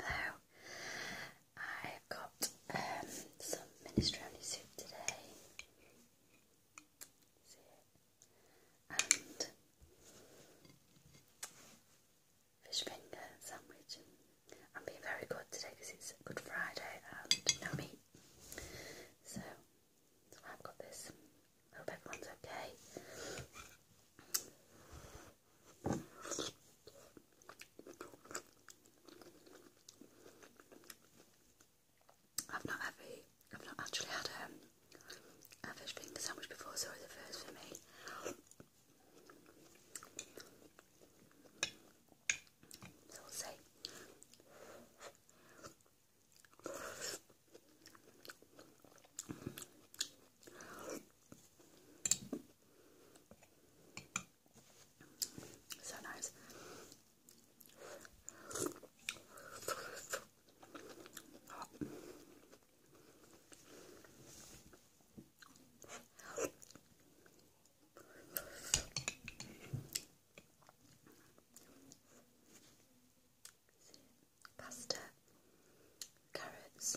Hello. I've got um, some minestrone soup today. And fish finger sandwich. And I'm being very good today because it's Good Friday and no meat. so I've got this. Hope everyone's okay. I've not ever, I've not actually had um, a fish finger sandwich before, Sorry, the first for me. So we'll see. So nice. Oh pasta, carrots.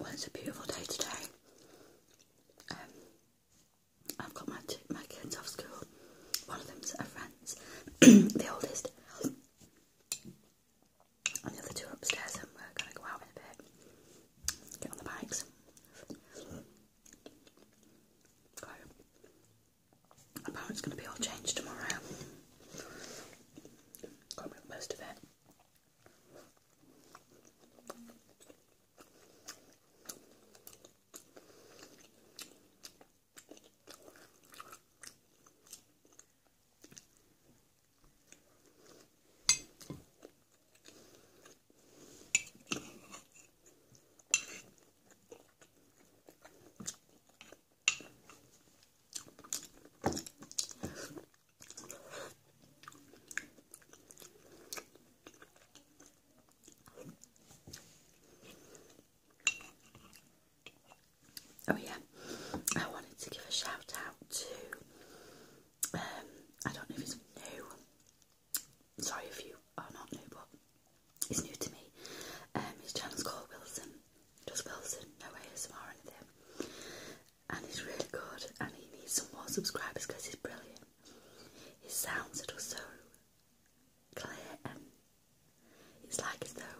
Well, it's a beautiful day today. Um, I've got my my kids off school. One of them's at a friend's, the oldest, and two upstairs, and we're gonna go out in a bit, get on the bikes. Go Apparently it's going to be all changed tomorrow. Got most of it. Oh, yeah, I wanted to give a shout out to um, I don't know if it's new, sorry if you are not new, but He's new to me. Um, his channel's called Wilson, just Wilson, no ASMR or anything. And he's really good, and he needs some more subscribers because he's brilliant. His sounds are just so clear, and it's like as though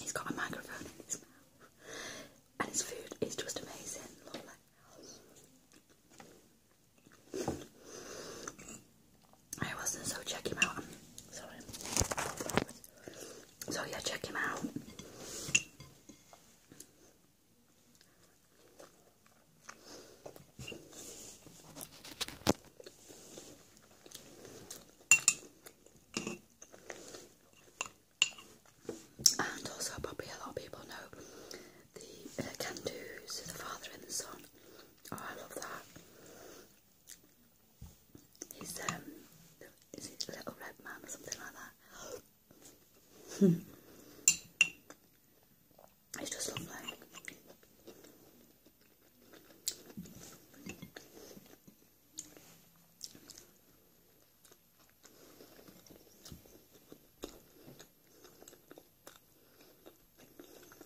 he's got a microphone in his mouth. And his food is just amazing, I wasn't, so check him out. So yeah, check him out. And also, probably a lot of people know the uh, Candus, the father and the son. Oh, I love that. He's um, is it Little Red Man or something like that? it's just lovely.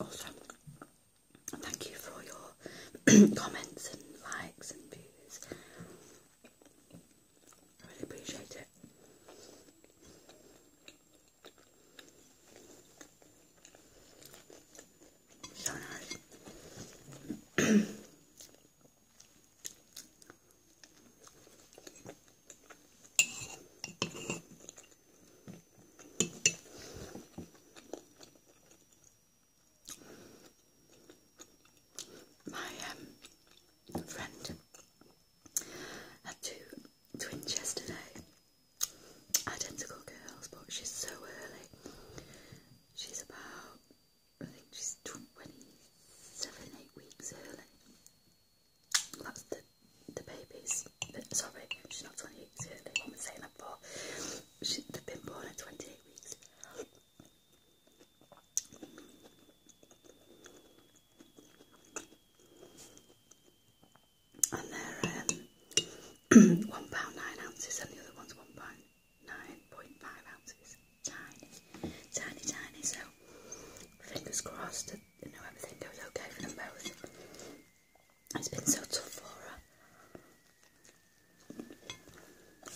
Also, thank you for your comments and likes and views. I really appreciate it. My um, friend had two twins yesterday, identical girls, but she's so early. She's about, I think she's 27, 8 weeks early. That's the, the babies. Sorry, she's not 28 weeks early. What am saying that for? She, they've been born at 28 weeks. And they're um, one pound nine ounces, and the other one's one pound nine point five ounces. Tiny, tiny, tiny. So fingers crossed that you know everything goes okay for them both. It's been so tough for her. There's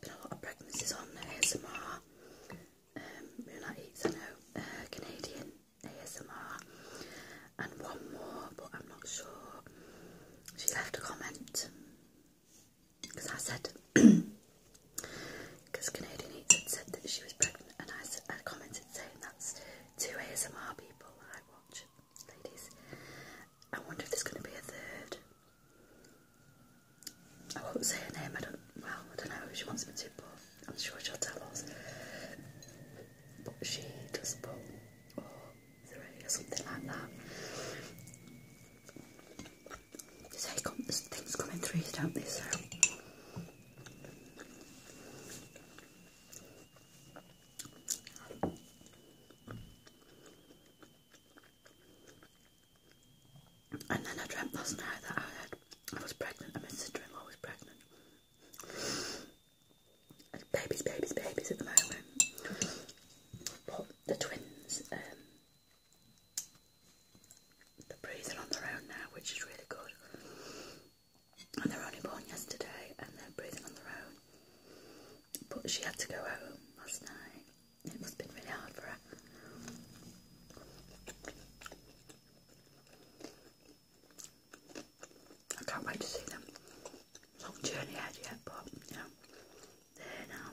been a lot of pregnancies on ASMR. Um, Moonlight Eats, I know, uh, Canadian ASMR, and one more, but I'm not sure. She left a comment because I said, because Canadian Eats said that she was pregnant, and I, said, I commented saying that's two ASMR people I watch, ladies. I wonder if there's going to be a third. I won't say her name, I don't, well, I don't know if she wants me to, I'm sure she'll tell us. But she does or something like that. So things coming through, don't they? So. And then I dreamt last night that I, had, I was pregnant and my sister-in-law was pregnant babies, babies, babies at the moment. But the twins, um, they're breathing on their own now, which is really good. And they are only born yesterday, and they're breathing on their own. But she had to go home last night. It must have been really hard for her. I can't wait to see them long journey ahead yet, but yeah, know, now.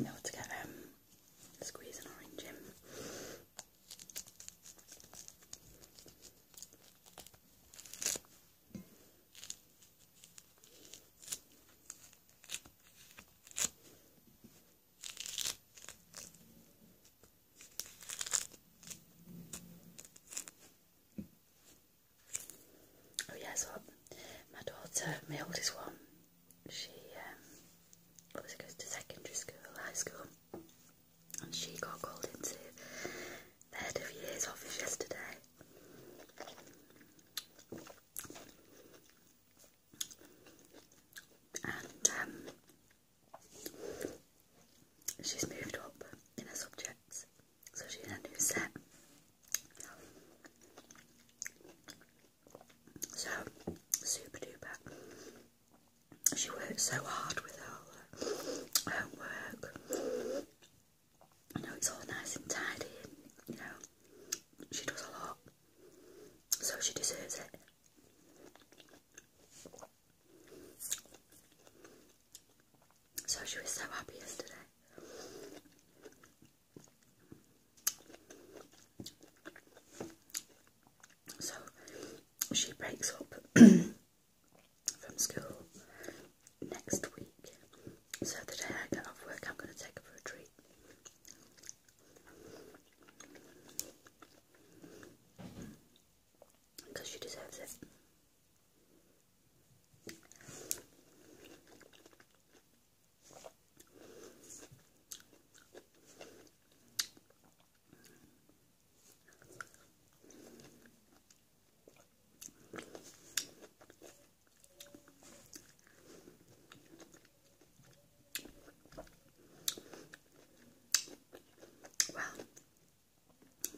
Now to get um, squeeze an orange in. Oh yeah, so my daughter, my oldest one, she um, goes to secondary school, high school, and she got called into the head of year's office yesterday. And um, she's moved up in her subjects, so she's in a new set. So super duper. She works so hard with her homework. You know, it's all nice and tidy, you know, she does a lot, so she deserves it. So she was so happy yesterday. So she breaks up from school next week. So the day I get off work, I'm going to take her for a treat. Because she deserves it. Well,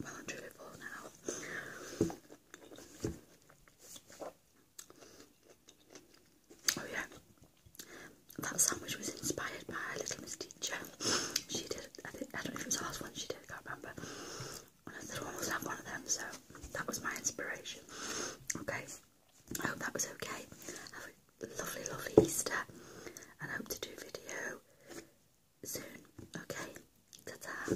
well and truly full now. Oh yeah, that sandwich was inspired by a little Miss Teacher. She did, I, I don't know if it was the last one she did, I can't remember. And I thought one was have one of them, so that was my inspiration. Okay, I hope that was okay. Have a lovely, lovely Easter, and hope to do video soon. Okay, ta-ta.